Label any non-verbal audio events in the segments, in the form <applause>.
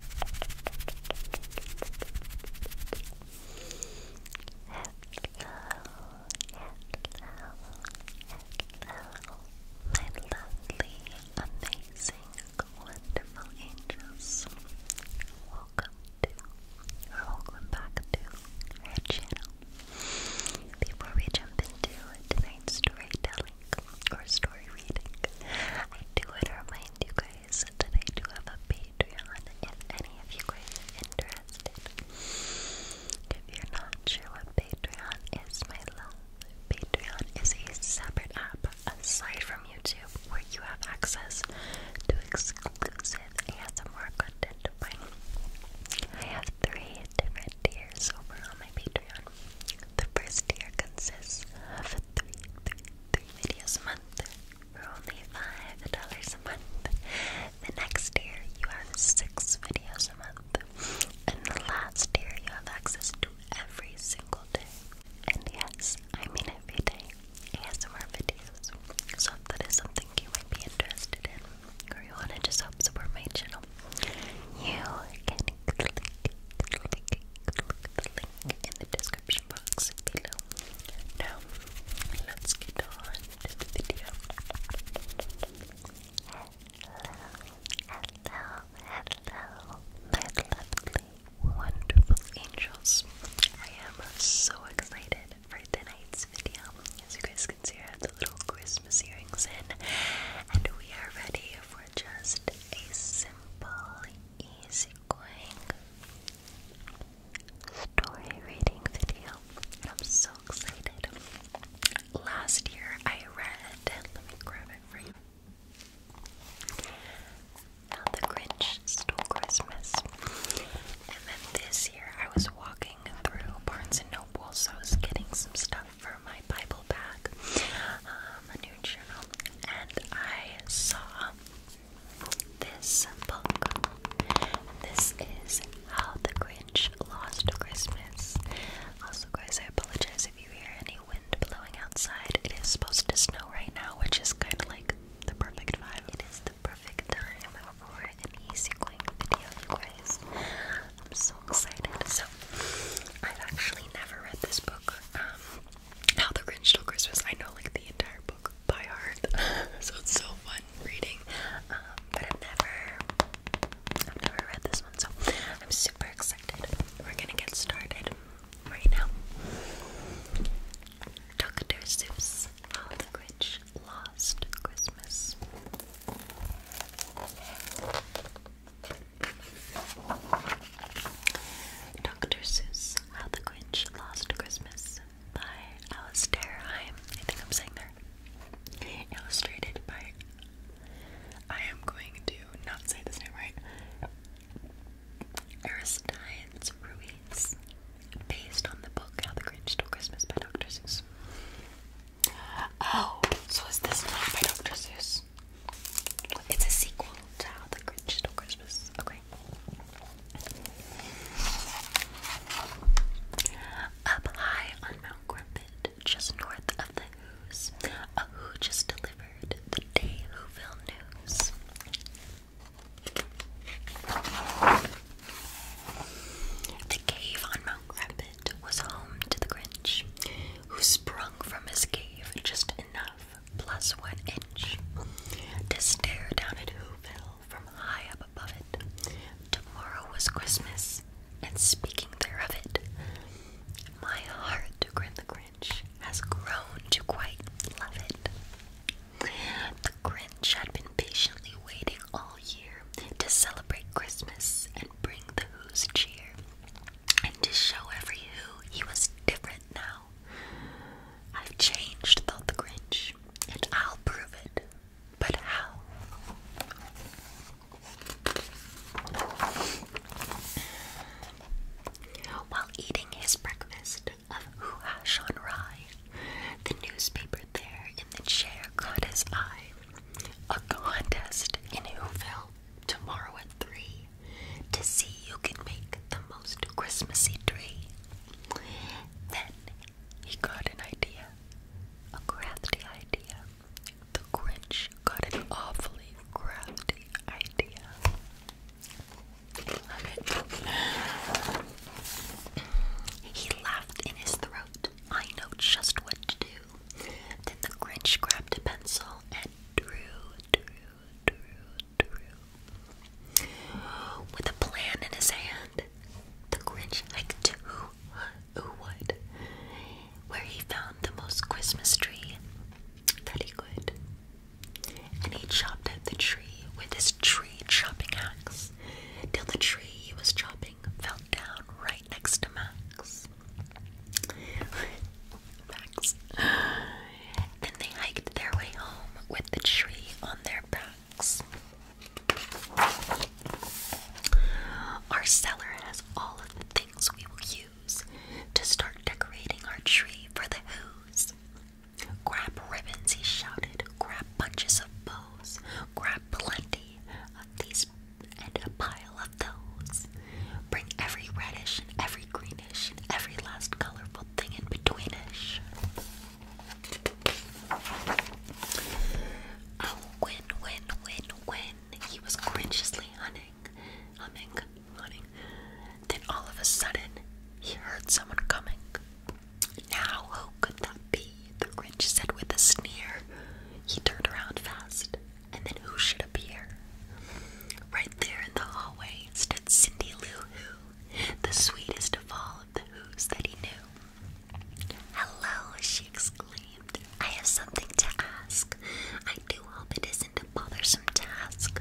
hello, my lovely, amazing, wonderful angels. Welcome to, or welcome back to our channel. Before we jump into tonight's storytelling, or story reading. I do want to remind guys that I do have a Patreon if any of you guys are interested. If you're not sure what Patreon is, my love, Patreon is a separate app aside from YouTube where you have access to exclusive ASMR content. I have three different tiers over on my Patreon. The first tier consists of three, three, three videos a month for only $5 a month. The next tier, you have six videos a month. And the last tier, you have access to every single day. And yes, I mean every day, yes, ASMR videos. So if that is something you might be interested in, or you want to just help support my channel, you can link, link, link, link, link in the description box below. Now, let's get on to the video. Hello, hello, hello, my lovely, wonderful angels. I am so excited for tonight's video. As you guys can see, I have the little Christmas earrings in, and we are ready for just a simple, easygoing story reading video. I'm so excited. Last year I read, let me grab it for you. the Grinch Stole Christmas. And then this year I was walking through Barnes and Noble, so I was getting some stuff for my Bible bag, um, a new journal, and I saw this book. This is How the Grinch Lost Christmas. Also, guys, I apologize if you hear any wind blowing outside. It is supposed to snow right now, which is kind of like the perfect vibe. It is the perfect time for an easy, video, guys. I'm so excited. So, I've actually never read this book, um, How the Grinch Stole Christmas. I know like the entire book by heart, <laughs> so it's so fun reading. Um, but I've never, I've never read this one, so I'm super excited. We're gonna get started right now. How the Grinch Lost Christmas. Dr. Seuss, How the Grinch Lost Christmas by Alice Heim. I think I'm saying there. Illustrated by. I am going to not say this name right. Aristides Ruiz. Based on the book How the Grinch Stole Christmas by Dr. Seuss. Oh, so is this not by Dr. Seuss? It's a sequel to the Grinch Stole Christmas. Okay. Up high on Mount Griffin, just north of the Who's, a Who just delivered the Day Whoville news. The cave on Mount Griffin was home to the Grinch, who sprung from his cave just enough, plus one inch, to stare down at Whoville from high up above it. Tomorrow was Christmas, and speaking thereof it, my heart, to grin the Grinch, has grown to quite love it. The Grinch had been patiently waiting all year to celebrate Christmas, and bring the Who's cheer, and to show every Who he was different now. I've changed, thought the Grinch, and I'll prove it. But how? While eating his breakfast of hoo-ha Rye, the newspaper there in the chair caught his eye a contest in Whoville tomorrow at 3 to see who can make the most Christmassy tree. Then he got an idea, a crafty idea. The Grinch got an awfully crafty idea. He laughed in his throat I know just what to do. Then the Grinch grabbed a pencil and drew, drew, drew, drew. With a plan in his hand, the Grinch hiked to what, where he found the most Christmas tree that he could. And he chopped at the tree with his tree chopping axe till the tree he was chopping fell down right next to Max. Max. Then they hiked their way home with the tree on their backs. Our cellar has all of the things we will use to start decorating our tree for the who's. Grab ribbons, he shouted. Grab bunches of bows. Grab plenty of these and a pile of those. Bring every reddish and every greenish and every last colorful thing in betweenish. Oh, win, win, win, win. He was consciously hunting, humming, hunting. Then all of a sudden, he heard someone coming. Now, who oh, could that be? The Grinch said with a sneer. He turned around fast, and then who should appear? Right there in the hallway stood Cindy Lou Who, the sweetest of all of the Who's that he knew. Hello, she exclaimed. I have something to ask. I do hope it isn't a bothersome task.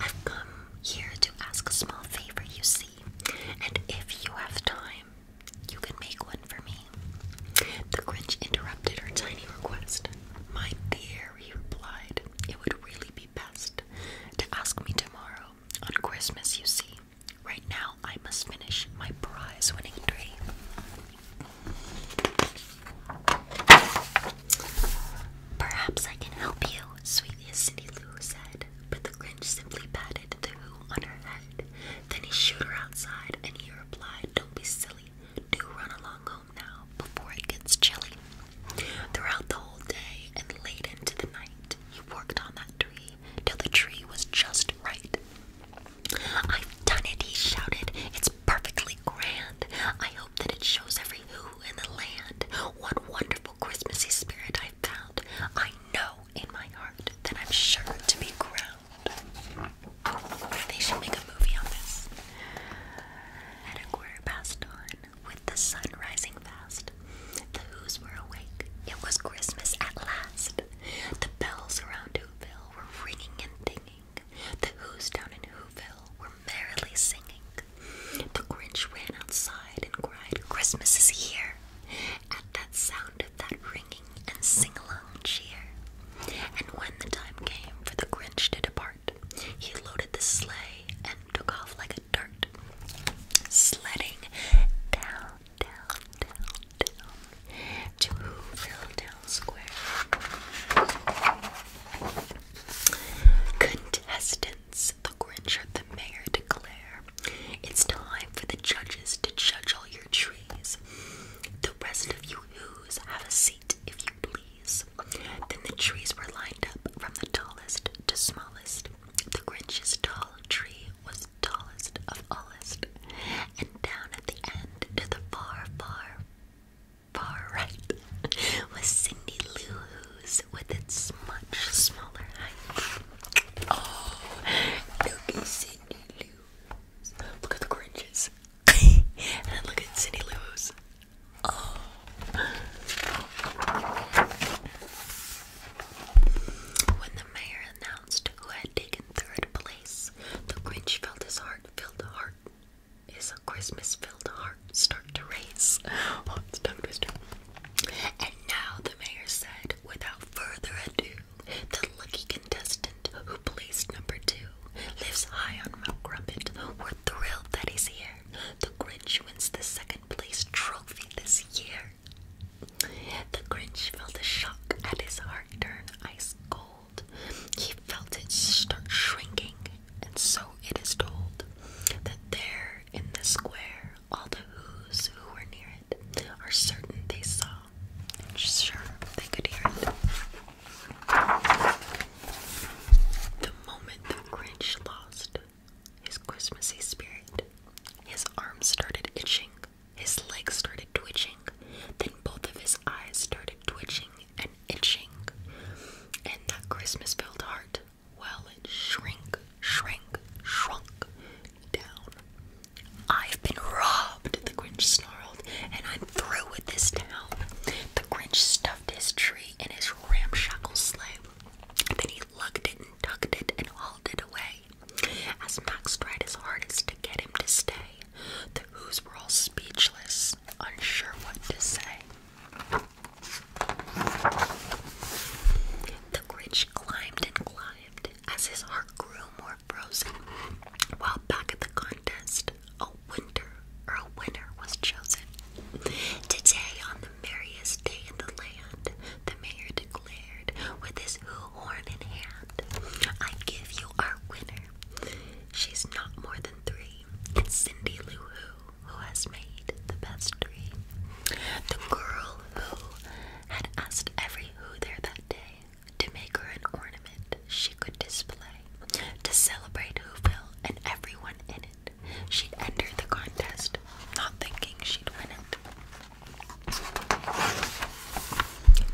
I've come here to ask a small favor, you see. And if you have time, you can make one for me. The Grinch interrupted her tiny request. My dear, he replied, it would really be best to ask me tomorrow, on Christmas, you see. Right now, I must finish my prize winning tree. Perhaps I can help you, sweet Cindy Lou said but the Grinch simply patted the Who on her head. Then he shooed her outside, and he replied, Don't be silly, do run along home now before it gets chilly. Throughout the whole day and late into the night, he worked on that tree till the tree was just right. I've done it, he shouted. It's perfectly grand. I hope that it shows every who in the land what wonderful Christmasy spirit I found ground. I know in my heart that I'm sure to be ground. They should make a movie on this. At a quarter past dawn, with the sun rising fast, the Who's were awake. It was Christmas at last. The bells around Whoville were ringing and dinging. The Who's down in Whoville were merrily singing. The Grinch ran outside and cried, Christmas is here! At that sound of that ringing and sing along cheer. And when the time came for the Grinch to depart, he loaded the sleigh and took off like a dart, sledding down, down, down, down to Whoville Town Square. Contestants the Grinch, or the mayor declare, It's time for the judges to judge all your trees. The rest of you who's have a seat, if you please. Then the trees were lined up from the tallest to smallest. The Grinch's tall tree was tallest of allest, and down at the end to the far, far, far right <laughs> was Cindy Lou with its much smaller height. Oh, look at the Grinches. <laughs> and look at Cindy Lou's. Oh. When the mayor announced who had taken third place, the Grinch felt his heart filled heart is a Christmas-filled heart start to race. Oh, it's tongue twister. And now the mayor said, without further ado, the lucky contestant who placed number two lives high on Mount Crumpet. We're thrilled that he's here. The Grinch wins the second place trophy this year. The Grinch felt a shock at his heart turn ice cold. He felt it start shrinking, and so it is told that there in the square all the who's who were near it are certain they saw, sure they could hear it. The moment the Grinch lost his Christmassy spirit, his arms started itching, his legs started twitching, then both of his eyes started twitching, and itching, and that Christmas-filled heart, well, it shrunk, shrunk, shrunk down. I've been robbed, the Grinch snarled, and I'm through with this town. The Grinch stuffed his tree in his ramshackle sleigh. Then he lugged it and tugged it and hauled it away. As Max tried his hardest to get him to stay, the Who's were all speechless, unsure what to say. The Grinch climbed and climbed as his heart grew more frozen. While back at the contest, a winter or a winner was chosen. Today, on the merriest day in the land, the mayor declared with his horn in hand, I give you our winner. She's not more than three. It's Cindy Lou Who who has made the best three. The girl who had asked every who there that day to make her an ornament she could display to celebrate Whoville and everyone in it. she entered the contest, not thinking she'd win it.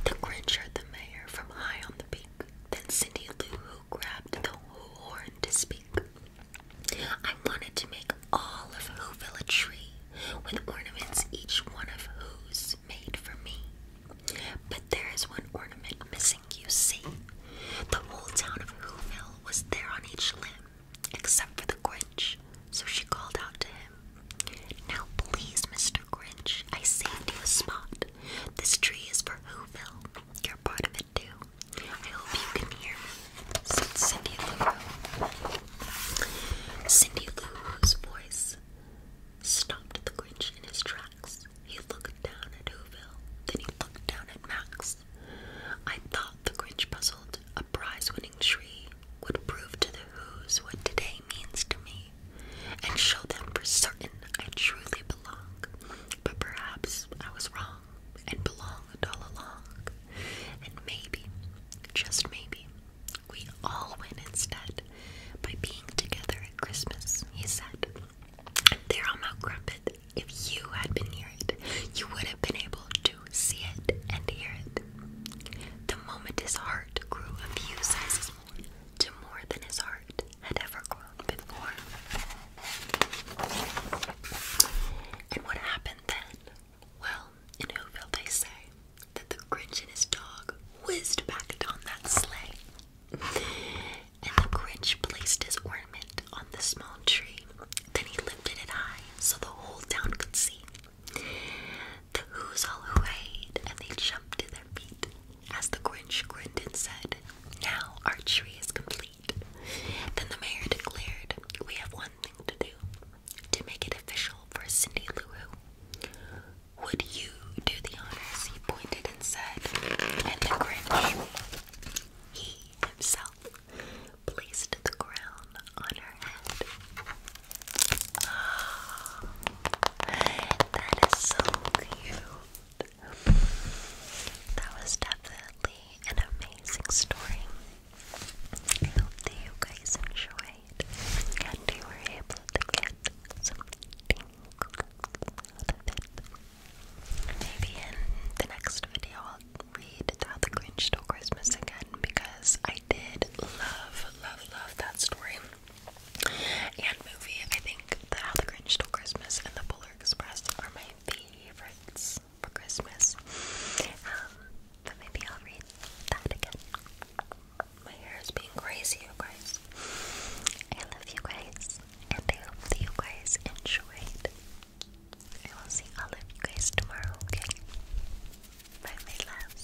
The Grinch heard the mayor from high on the peak. Then Cindy Lou Who grabbed the horn to speak. I wanted to make all of Whoville a tree, with ornaments each one of whose made for me. But there is one ornament missing, you see. The whole town of Whoville was there on each limb, except for the Grinch, so she called out to him. Now please, Mr. Grinch, I saved you a spot. This tree is for for You're part of it too. I hope you can hear Said Cindy Lou. Cindy Lou's voice stopped the Grinch in his tracks. He looked down at Whoville, then he looked down at Max. I thought the Grinch puzzled a prize-winning tree would prove to the Who's what today means to me and show them for certain I truly belong. But perhaps I was wrong and belonged all along. And maybe, just maybe, we all win instead by being together at Christmas, he said. And there on Mount Crumpet, if you had been near it, you would have been able to see it and hear it. The moment his heart grew a few sizes more to more than his heart, had ever grown before. And what happened then? Well, in Whoville they say that the Grinch and his dog whizzed back down that sleigh. And the Grinch placed his ornament on the small tree. Then he lifted it high so the whole town could see. The Who's all hooray, and they jumped to their feet as the Grinch grinned and said, Now our tree is complete. Then the mayor declared, We have one thing to do to make it official for Cindy Lou Who. Would you do the honors? He pointed and said, and the Grinch, he himself, placed the crown on her head that is so cute. That was definitely an amazing story. I hope that you guys enjoyed and you were able to get something out of Maybe in the next video I'll read How the Grinch Stole Christmas again because I did love, love, love that story and movie. I think the How the Grinch Stole Christmas and the Polar Express are my favorites for Christmas. Um, but maybe I'll read that again. My hair is being crazy, you guys. I love you guys, and I hope that you guys enjoyed. I will see all of you guys tomorrow, okay? Bye, my loves.